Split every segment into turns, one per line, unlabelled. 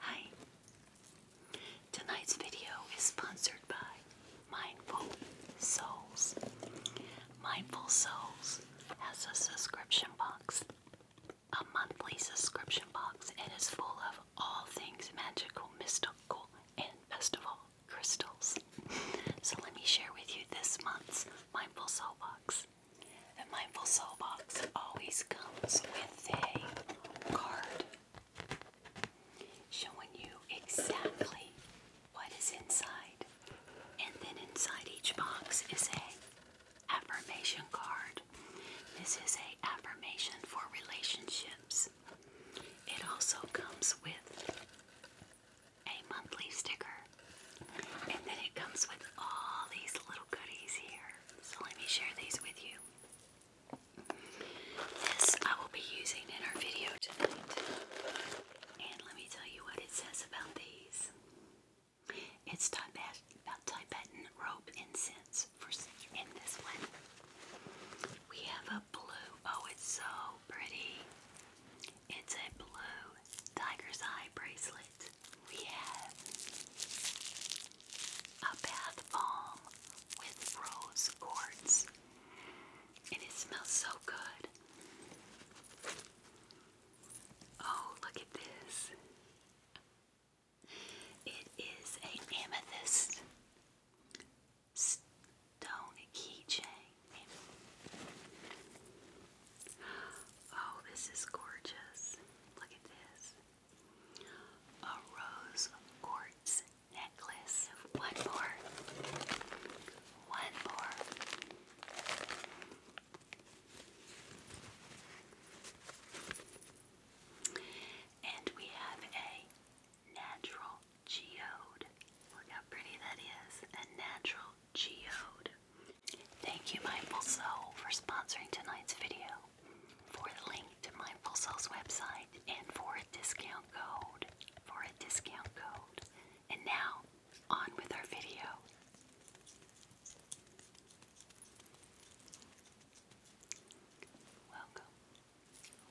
Hi. Tonight's video is sponsored by Mindful Souls. Mindful Souls has a subscription box a monthly subscription box and is full of all things magical, mystical, and best of all, crystals. So let me share with you this month's Mindful Soul Box. The Mindful Soul Box always comes with a card showing you exactly what is inside. And then inside each box is a affirmation card this is a affirmation for relationships. It also comes with a monthly sticker. And then it comes with all these little goodies here. So let me share these with you. This I will be using in our video tonight. And let me tell you what it says about these. It's time about Tibetan rope incense in this one. We have a blue. Oh, it's so pretty. It's a blue tiger's eye bracelet. We have a bath balm with rose quartz. And it smells so good. Oh, look at this. It is an amethyst stone keychain. Oh, this is gorgeous. Look at this. A rose quartz necklace. One more. One more. And we have a natural geode. Look how pretty that is. A natural geode. Thank you, Mindful Soul, for sponsoring tonight's video. For the link to Mindful Soul's website and for a discount code. For a discount code. And now, on with our video. Welcome,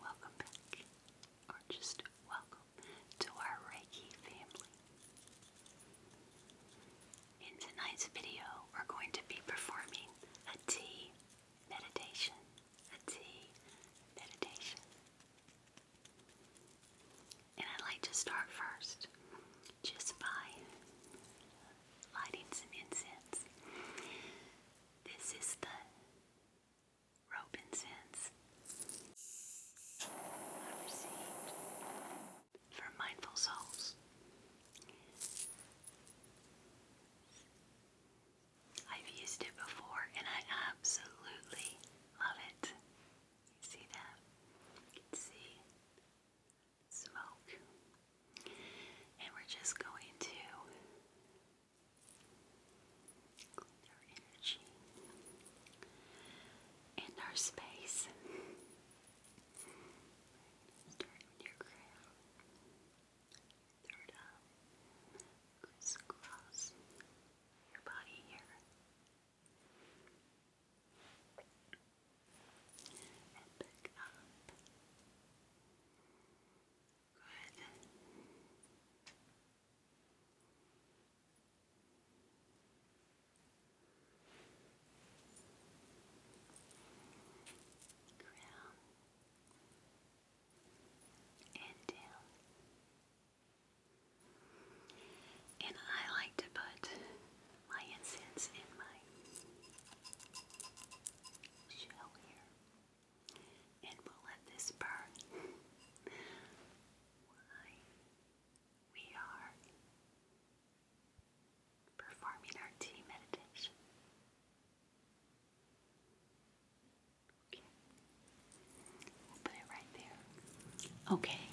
welcome back, or just welcome to our Reiki family. In tonight's video, we're going to be performing a tea meditation. A tea meditation. And I'd like to start first just by lighting some incense. This is the Robinsons for mindful souls. I've used it before and I absolutely love it. You see that? You can see smoke. And we're just going to clean energy and our space. Start your crown, third eye, goes your body here. And back up. Good. Crown and down. And I like to put my incense in my shell here and we'll let this burn. We are performing our tea meditation. Okay. We'll put it right there. Okay.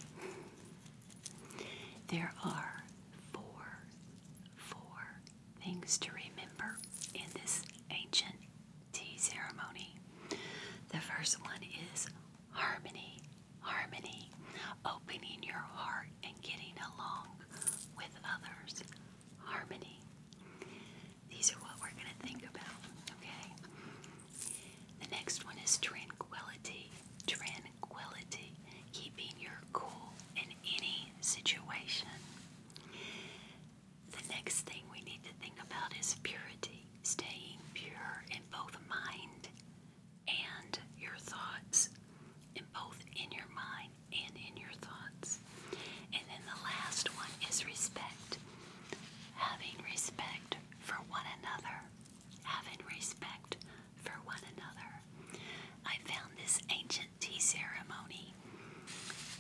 There are four, four things to remember in this ancient tea ceremony. The first one is harmony, harmony, opening your heart and getting along with others. Harmony. These are what we're going to think about, okay? The next one is tranquility, tranquility, keeping your cool in any situation. The next thing we need to think about is purity, staying pure in both mind and your thoughts, in both in your mind and in your thoughts. And then the last one is respect, having respect for one another, having respect for one another. I found this ancient tea ceremony.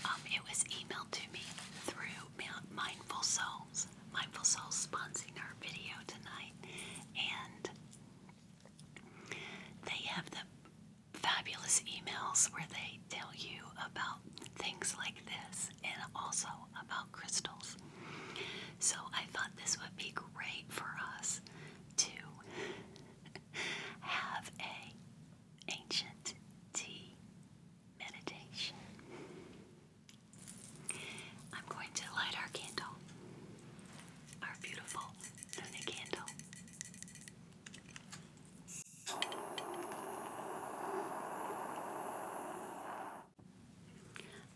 Um, it was emailed to me through Mindful Souls. Mindful Souls sponsoring our video tonight, and they have the fabulous emails where they tell you about things like this and also about crystals. So I thought this would be great for us to have a ancient tea meditation. I'm going to light our candle, our beautiful Luna candle.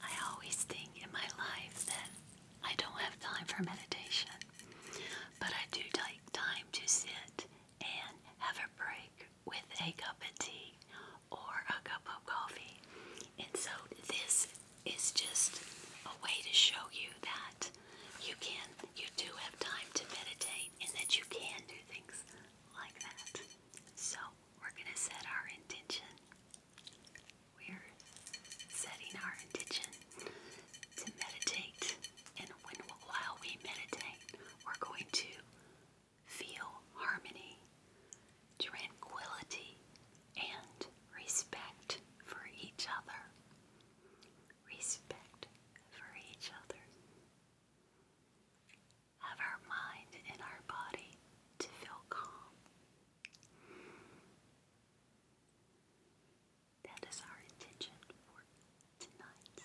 I always think in my life that I don't have time for meditation but I do take time to sit and have a break with a cup of tea or a cup of coffee. And so this is just a way to show you that you can, you do have time to meditate and that you can do things like that. So we're going to set our intention. We're setting our intention to meditate. And when, while we meditate, we're going to feel harmony, tranquility, and respect for each other. Respect for each other. Have our mind and our body to feel calm. That is our intention for tonight.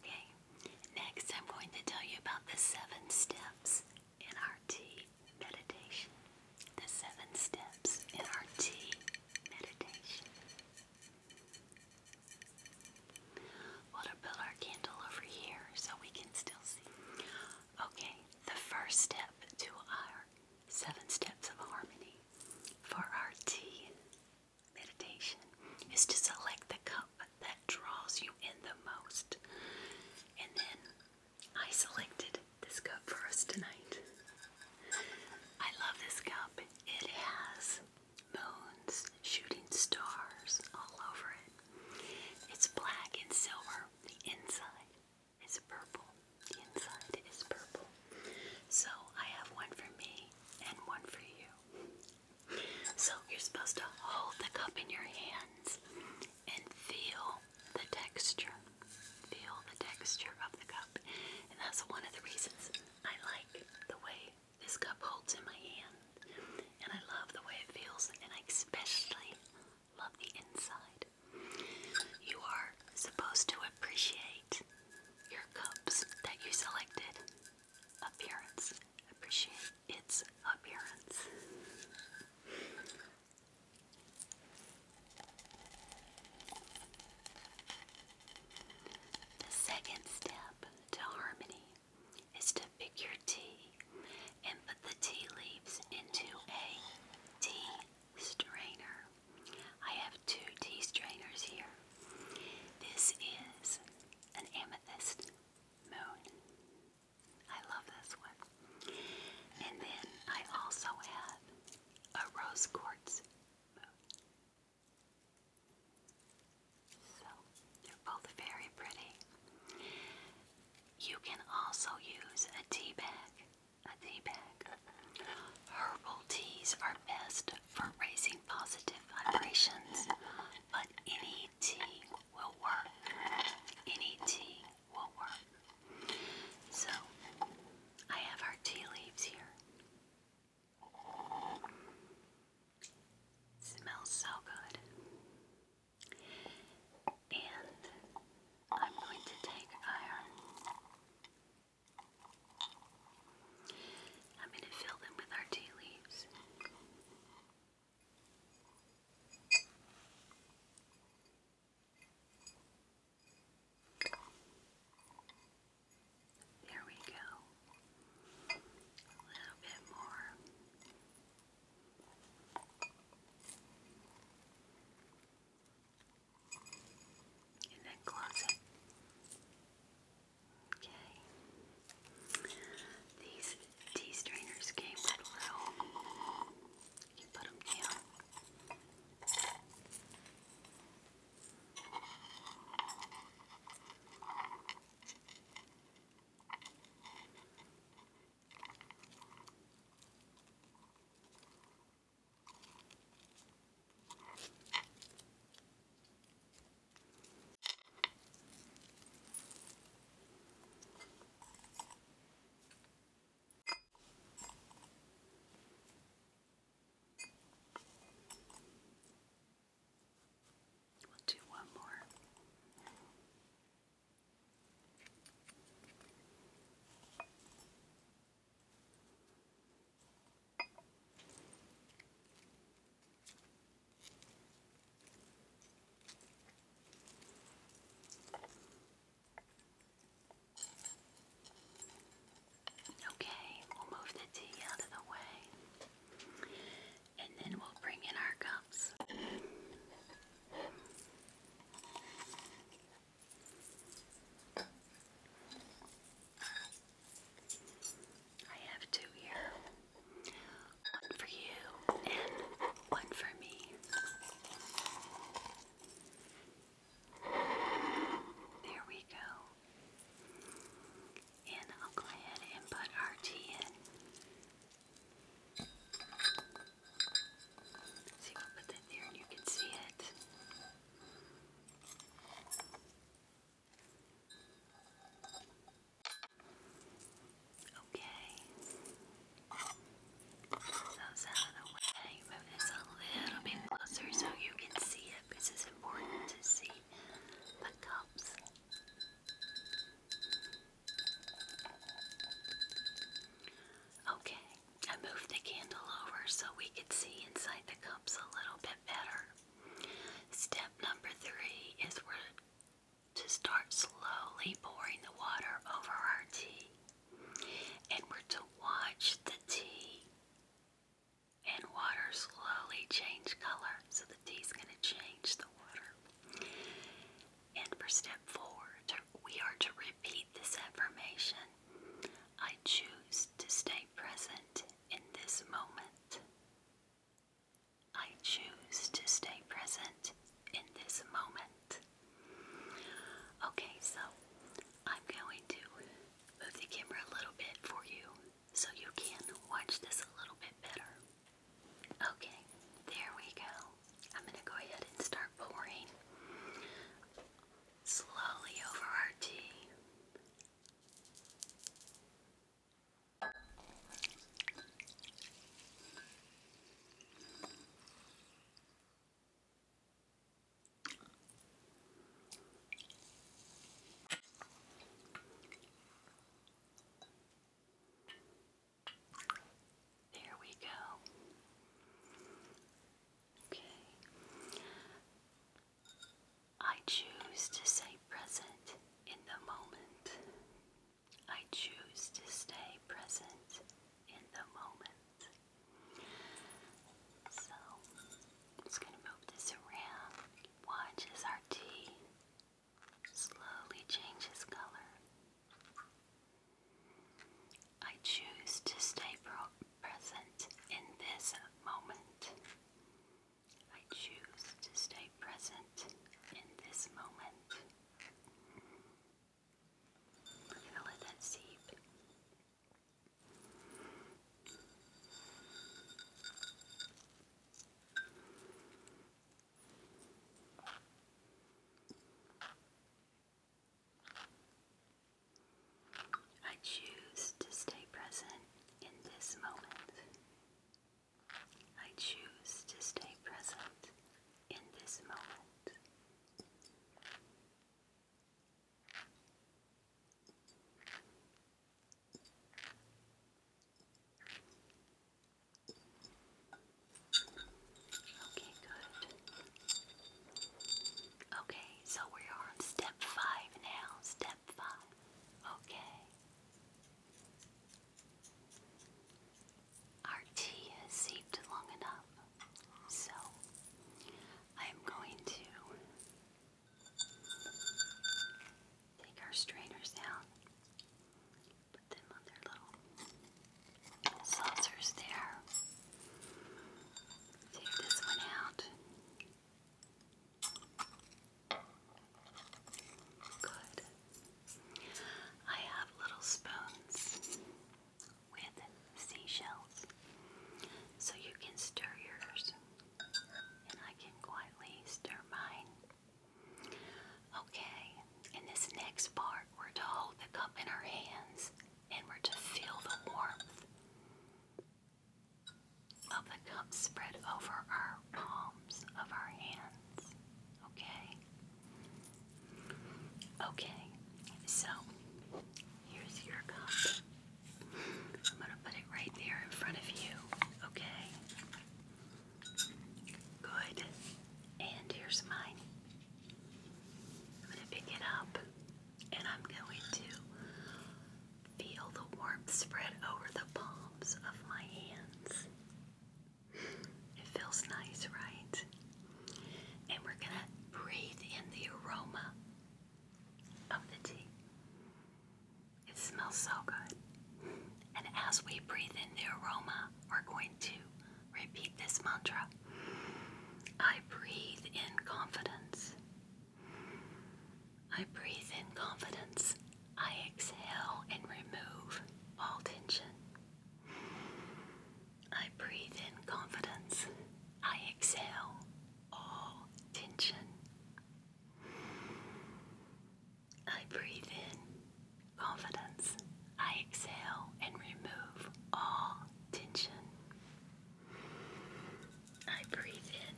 Okay, next I'm going to tell you about the seven steps in our tea meditation. The seven steps in our tea meditation. We'll put our candle over here so we can still see. Okay, the first step to our seven steps of harmony for our tea meditation is to select the cup that draws you in the most. And then I selected this cup for us tonight. I love this cup. It has moons, shooting stars all over it. It's black and silver. The inside is purple. The inside is purple. So I have one for me and one for you. So you're supposed to hold the cup in your hands and feel the texture. Feel the texture of the cup. And that's one of the reasons I like the way this cup holds in my hand. And I love the way it feels, and I especially love the inside. You are supposed to appreciate your cup's that you selected appearance. Appreciate its appearance. The second step to harmony is to pick your tea and put the tea leaves into a tea strainer. I have two tea strainers here. This is an amethyst moon. I love this one. And then I also have a rose quartz moon. So they're both very pretty. You can also use a tea bag. A tea bag. Herbal teas are best for raising positive vibrations, but any tea will work. Any tea will work. So I have our tea leaves here. smells so good. And I'm going to take iron. I'm going to fill them with our tea leaves. There we go. A little bit more and then close Okay. These tea strainers came with little. You put them down. We'll do one more. Okay, we'll move the tea out of the way and then we'll bring in our cups. I have two here one for you and one for me. There we go. And I'll go ahead and put our tea in. See, we'll put that there and you can see it. Okay. Those out of the way. Move this a little bit closer so you can see it. This is important to see the cups. Okay, I moved the candle over so we could see inside the cups a little bit better. Step number three is we're to start slowly pouring the water over our tea. And we're to watch the tea and water slowly change color. So the tea's going to change the water. And for step four, we are to repeat this affirmation I choose to stay present in this moment. I choose to stay present in this moment. Okay, so I'm going to move the camera a little bit for you so you can watch this a little bit better. Okay, there we go. I'm going to go ahead and start pouring slowly over our tea. There we go. Okay. I choose to stay present in the moment. I choose to stay present in the moment. So, I'm just going to move this around. Watch as our tea slowly changes color. I choose to stay present in this moment. I choose to stay present in this moment. Feel it that seep. I choose to stay present in this moment. I choose to stay present in this moment. Okay, good. Okay, so we are on step five now. Step five. Okay. Our tea has seeped long enough, so I'm going to take our strainers out Put them on their little saucers there. Take this one out. Good. I have little spoons with seashells, so you can stir yours, and I can quietly stir mine. Okay, in this next part, we're to hold the cup in our hands and we're to feel the warmth of the cup spread over our palms of our hands. Okay? Okay, so here's your cup. I'm going to put it right there in front of you. Okay? Good. And here's mine. I'm going to pick it up and I'm going to feel the warmth spread over the palms of my hands. It feels nice, right? And we're going to breathe in the aroma of the tea. It smells so good. And as we breathe in the aroma, we're going to repeat this mantra I breathe in confidence. I breathe in confidence. I exhale and remove all tension. I breathe in confidence. I exhale all tension. I breathe in confidence. I exhale and remove all tension. I breathe in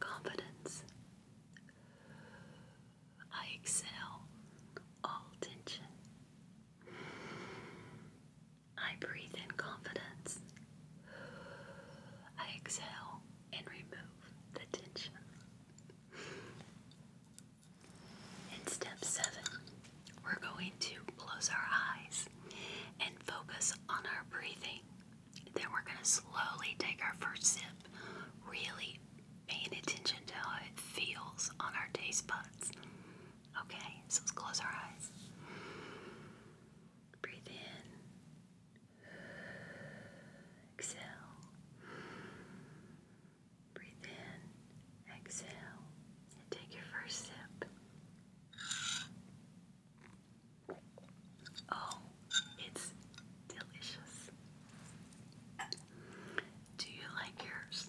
confidence. I exhale all tension. I breathe in confidence. I exhale and remove the tension. In step seven, we're going to close our eyes and focus on our breathing. Then we're going to slowly take our first sip, really paying attention to how it feels on our taste buds. Okay, so let's close our eyes. Breathe in. Exhale. Breathe in, exhale, and take your first sip. Oh, it's delicious. Do you like yours?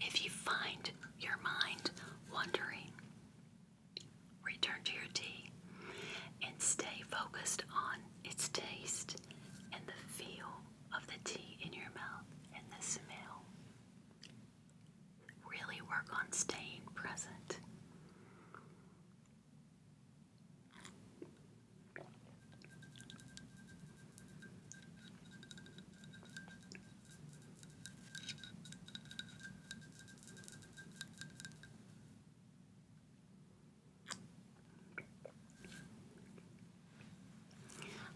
If you find your mind wandering, Return to your tea and stay focused on its taste and the feel of the tea in your mouth and the smell. Really work on staying present.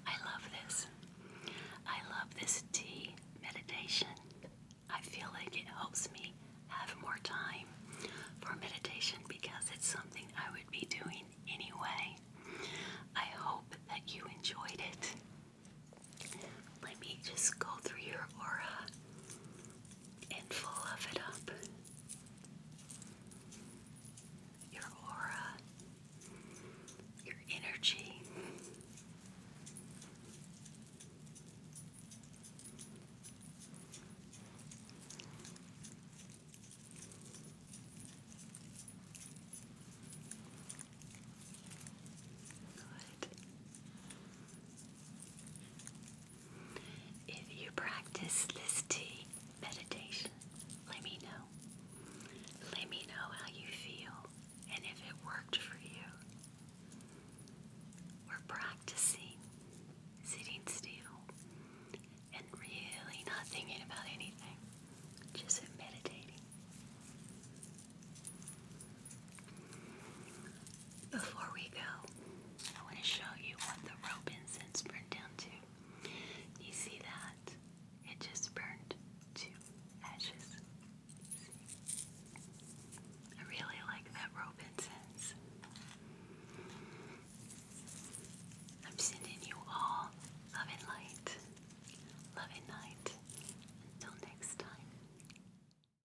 I love this. I love this tea meditation. I feel like it helps me have more time for meditation because it's something I would be doing anyway. I hope that you enjoyed it. Let me just go through your aura and full of it up. Your aura, your energy. Good. If you practice this tea meditation, let me know. Let me know how you feel and if it worked for you. We're practicing sitting still and really not thinking about anything, just meditating. Before we go, I want to show you what the rope incense burned down to. You see that? It just burned to ashes. I really like that rope incense. I'm sending you all loving light. Love and Until next time.